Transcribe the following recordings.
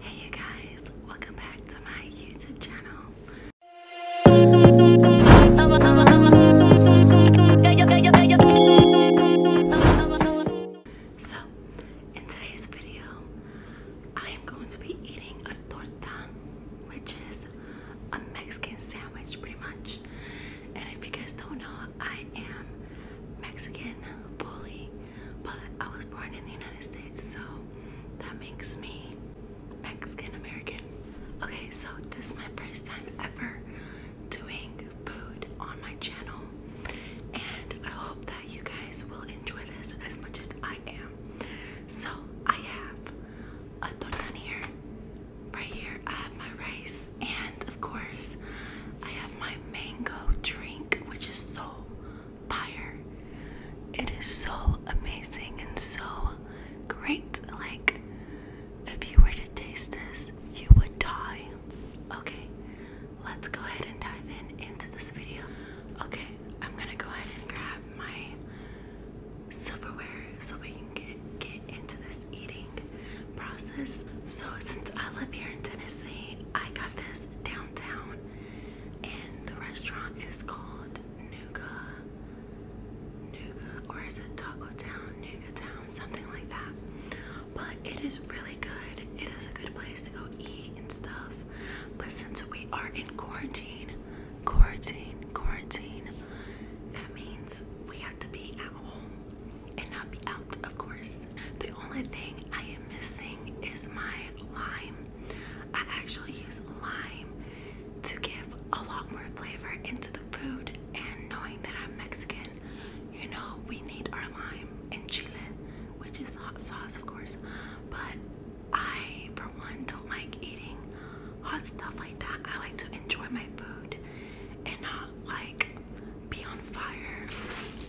Hey you guys, welcome back to my YouTube channel. So, in today's video, I am going to be eating a torta, which is a Mexican sandwich pretty much. And if you guys don't know, I am Mexican fully. But I was born in the United States, so that makes me Mexican American. Okay, so this is my first time ever doing food on my channel, and I hope that you guys will enjoy this as much as I am. So I have a torta here. Right here, I have my rice, and of course, I have my mango drink, which is so buyer. It is so amazing and so great. Like, if you were to taste this, you would die. Okay, let's go ahead and dive in into this video. Okay, I'm gonna go ahead and grab my silverware so we can get, get into this eating process. So, since I live here in Tennessee, I got this downtown and the restaurant is called Nuga, Nuga, or is it Taco Town, Nuga Town, something like that. But it is really good. It is a good place to go eat and stuff. But since we are in quarantine, quarantine, quarantine, that means we have to be at home and not be out, of course. The only thing I am missing is my lime I actually use lime to give a lot more flavor into the food. And knowing that I'm Mexican, you know, we need our lime and chile, which is hot sauce, of course. But I, for one, don't like eating hot stuff like that. I like to enjoy my food and not like be on fire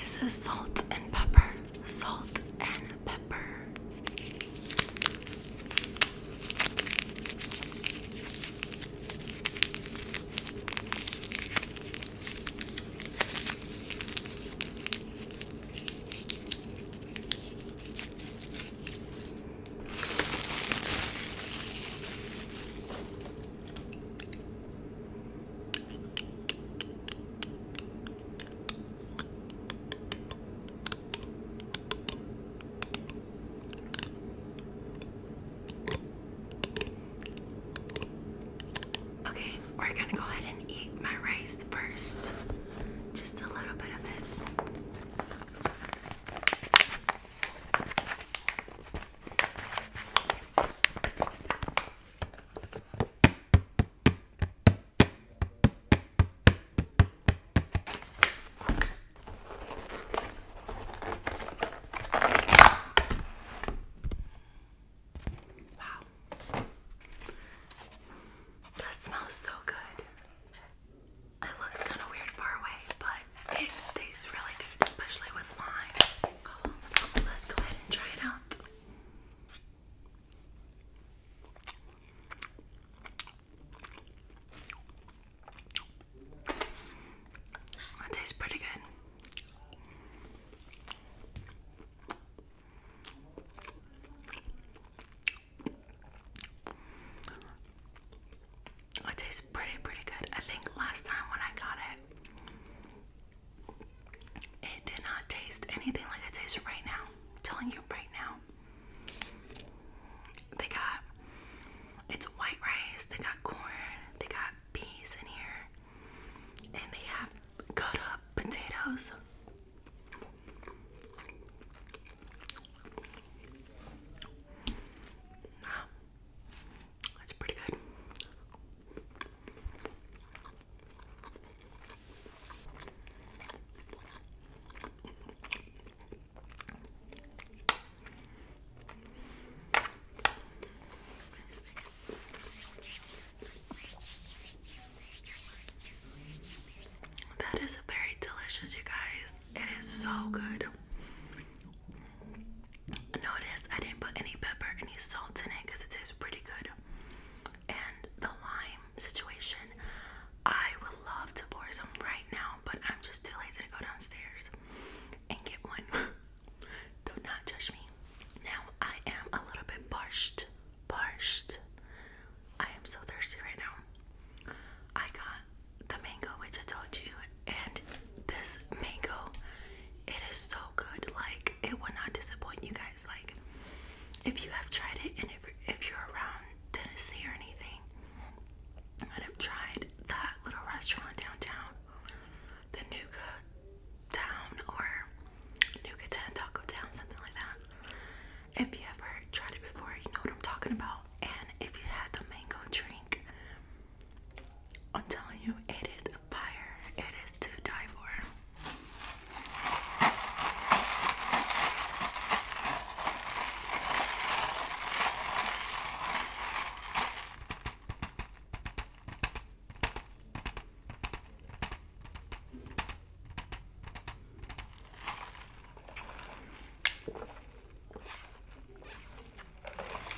This is salt and pepper, salt and pepper. Okay, we're gonna go ahead and eat my rice first. Just a little bit of it. Wow. That smells so good. It looks kind of weird far away, but it tastes really good, especially with lime. Oh, let's go ahead and try it out. That tastes pretty good. It tastes pretty, pretty good. I think last time when I got it, it did not taste anything like it tastes right now. telling you right now. They got it's white rice, they got corn, they got peas in here, and they have cut up potatoes. Wow. That's pretty good. That is very delicious, you guys. It is so good. Notice I didn't put any pepper, any salt in it because it tastes pretty good and the lime situation. I would love to pour some right now, but I'm just too lazy to go downstairs and get one. Do not judge me. Now I am a little bit parched. Parched. I am so thirsty right now. I got the mango, which I told you, and this mango, it is so good. Like, it would not disappoint you guys. Like, if you have tried it and if, if you're around Tennessee or anything i have tried that little restaurant downtown, the Nuka Town or Nuka Town, Taco Town, something like that. If you ever tried it before, you know what I'm talking about. And if you had the mango drink, I'm telling you, it is a fire. It is to die for.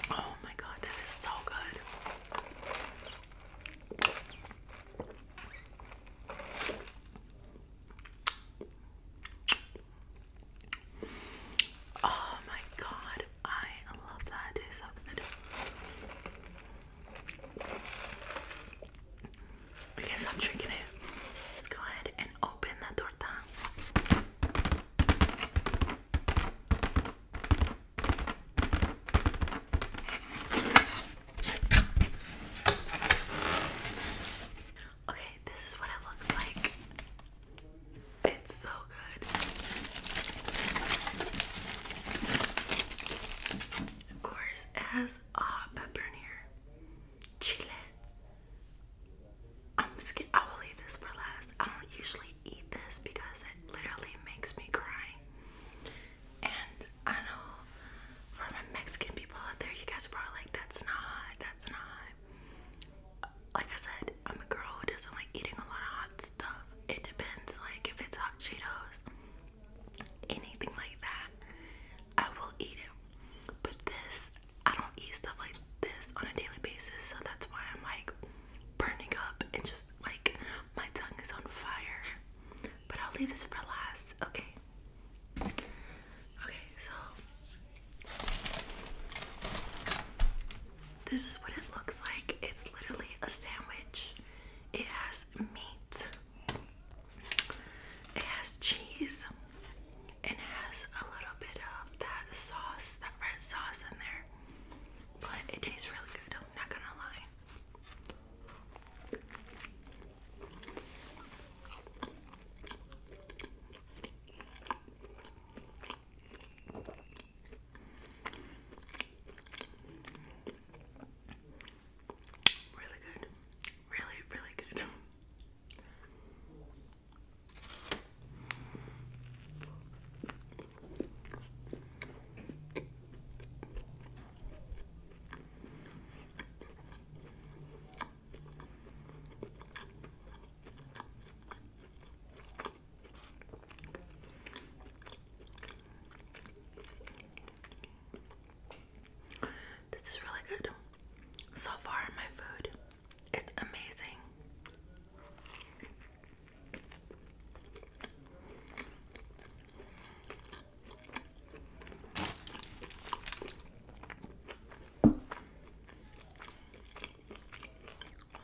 Oh, my God, that is so good. Oh my god, I love that. It I guess I'm drinking it. Let's go ahead and open the torta. Okay, this is what it looks like. It's so good. Of course, has a uh, hot pepper in here. Chile. I'm scared. I will leave this for last. I don't usually eat this because it literally makes me cry. And I know for my Mexican people out there, you guys are like, that's not that's not Like I said, I'm a girl who doesn't like eating a lot of hot stuff. It depends, like if it's hot Cheetos, anything like that, I will eat it. But this, I don't eat stuff like this on a daily basis, so that's why I'm like burning up and just like my tongue is on fire but I'll leave this for last. Okay. Okay, so this is what it looks like. It's literally a sandwich. It has meat. It has cheese. And it has a little bit of that sauce, that red sauce in there. But it tastes really good, I'm not gonna lie. Really good. Really, really good. This is really good. So far, my food is amazing.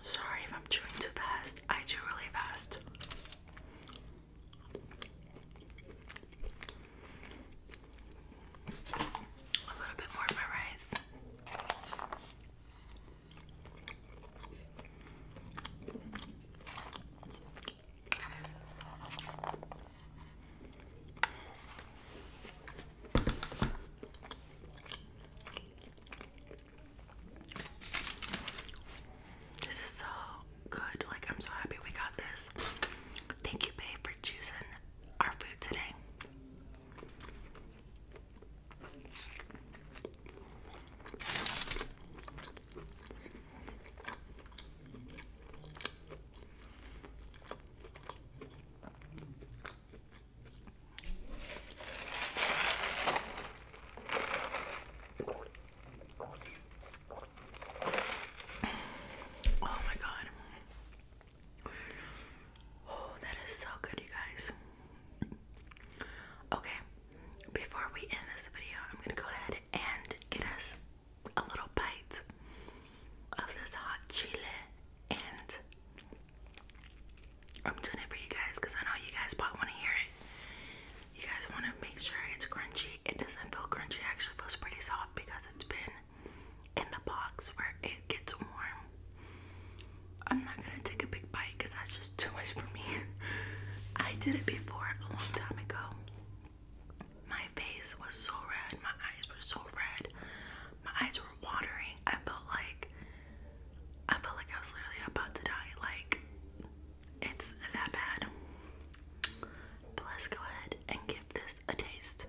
Sorry if I'm chewing too fast. I chew really fast. A little bit more of my rice. This is so good. Like, I'm so happy we got this. Thank you, babe, for choosing our food today. Oh my god. Oh, that is so good, you guys. Okay, before we end this video, I'm gonna go ahead and get us a little bite of this hot chili, and I'm doing it for you guys because I know you guys probably want to hear it. You guys want to make sure it's crunchy. It doesn't feel crunchy, actually feels pretty soft because it's been in the box where it gets warm. I'm not gonna take a big bite because that's just too much for me. I did it before a long time ago, my face was so red, my eyes were so red, my eyes were watering. I felt like I felt like I was literally about to die. Like it's that bad. But let's go ahead and give this a taste.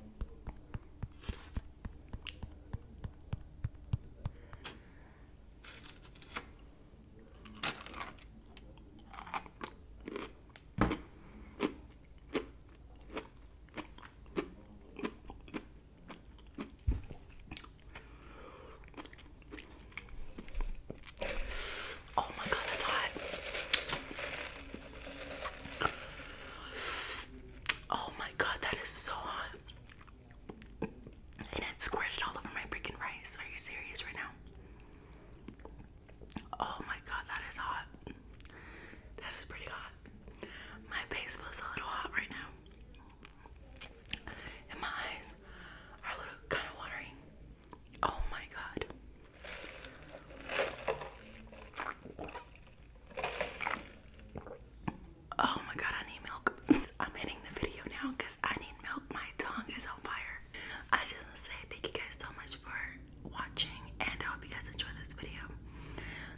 Oh my god, that's hot. Oh my god, that is so hot. And it squirted all over my freaking rice. Are you serious right now? Oh my god, that is hot. That is pretty hot. My face feels a little hot right now. And my eyes are a little kind of watery. Oh my god. Oh my god, I need milk. I'm ending the video now because I need milk. My tongue is on fire. I just want to say thank you guys so much for watching and I hope you guys enjoy this video.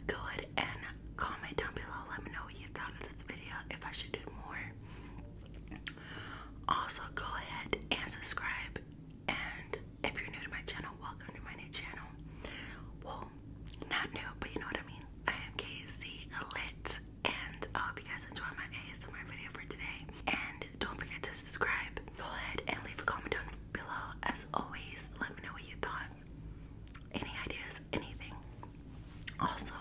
Go ahead and comment down below. Let me know what you thought of this video, if I should do more. Also, go ahead and subscribe. And if you're new to my channel, welcome to my new channel. Well, not new, but you know what I mean. I am KZ Lit, and I hope you guys enjoy my ASMR video for today. And don't forget to subscribe. Go ahead and leave a comment down below. As always, let me know what you thought. Any ideas, anything. Also,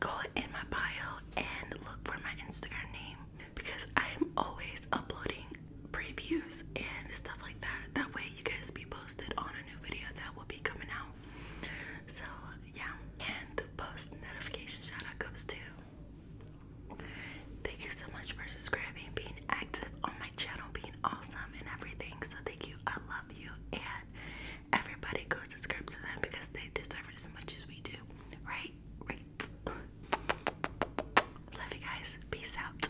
go in my bio and look for my Instagram name because I'm always uploading previews and stuff like that. That way, you guys be posted on a new video that will be coming out. So, yeah. And the post notification shout out goes to Thank you so much for subscribing, being active on my channel, being awesome and everything. So thank you. I love you. And everybody go subscribe to them because they deserve it as much as we do. Right? Right. Love you guys. Peace out.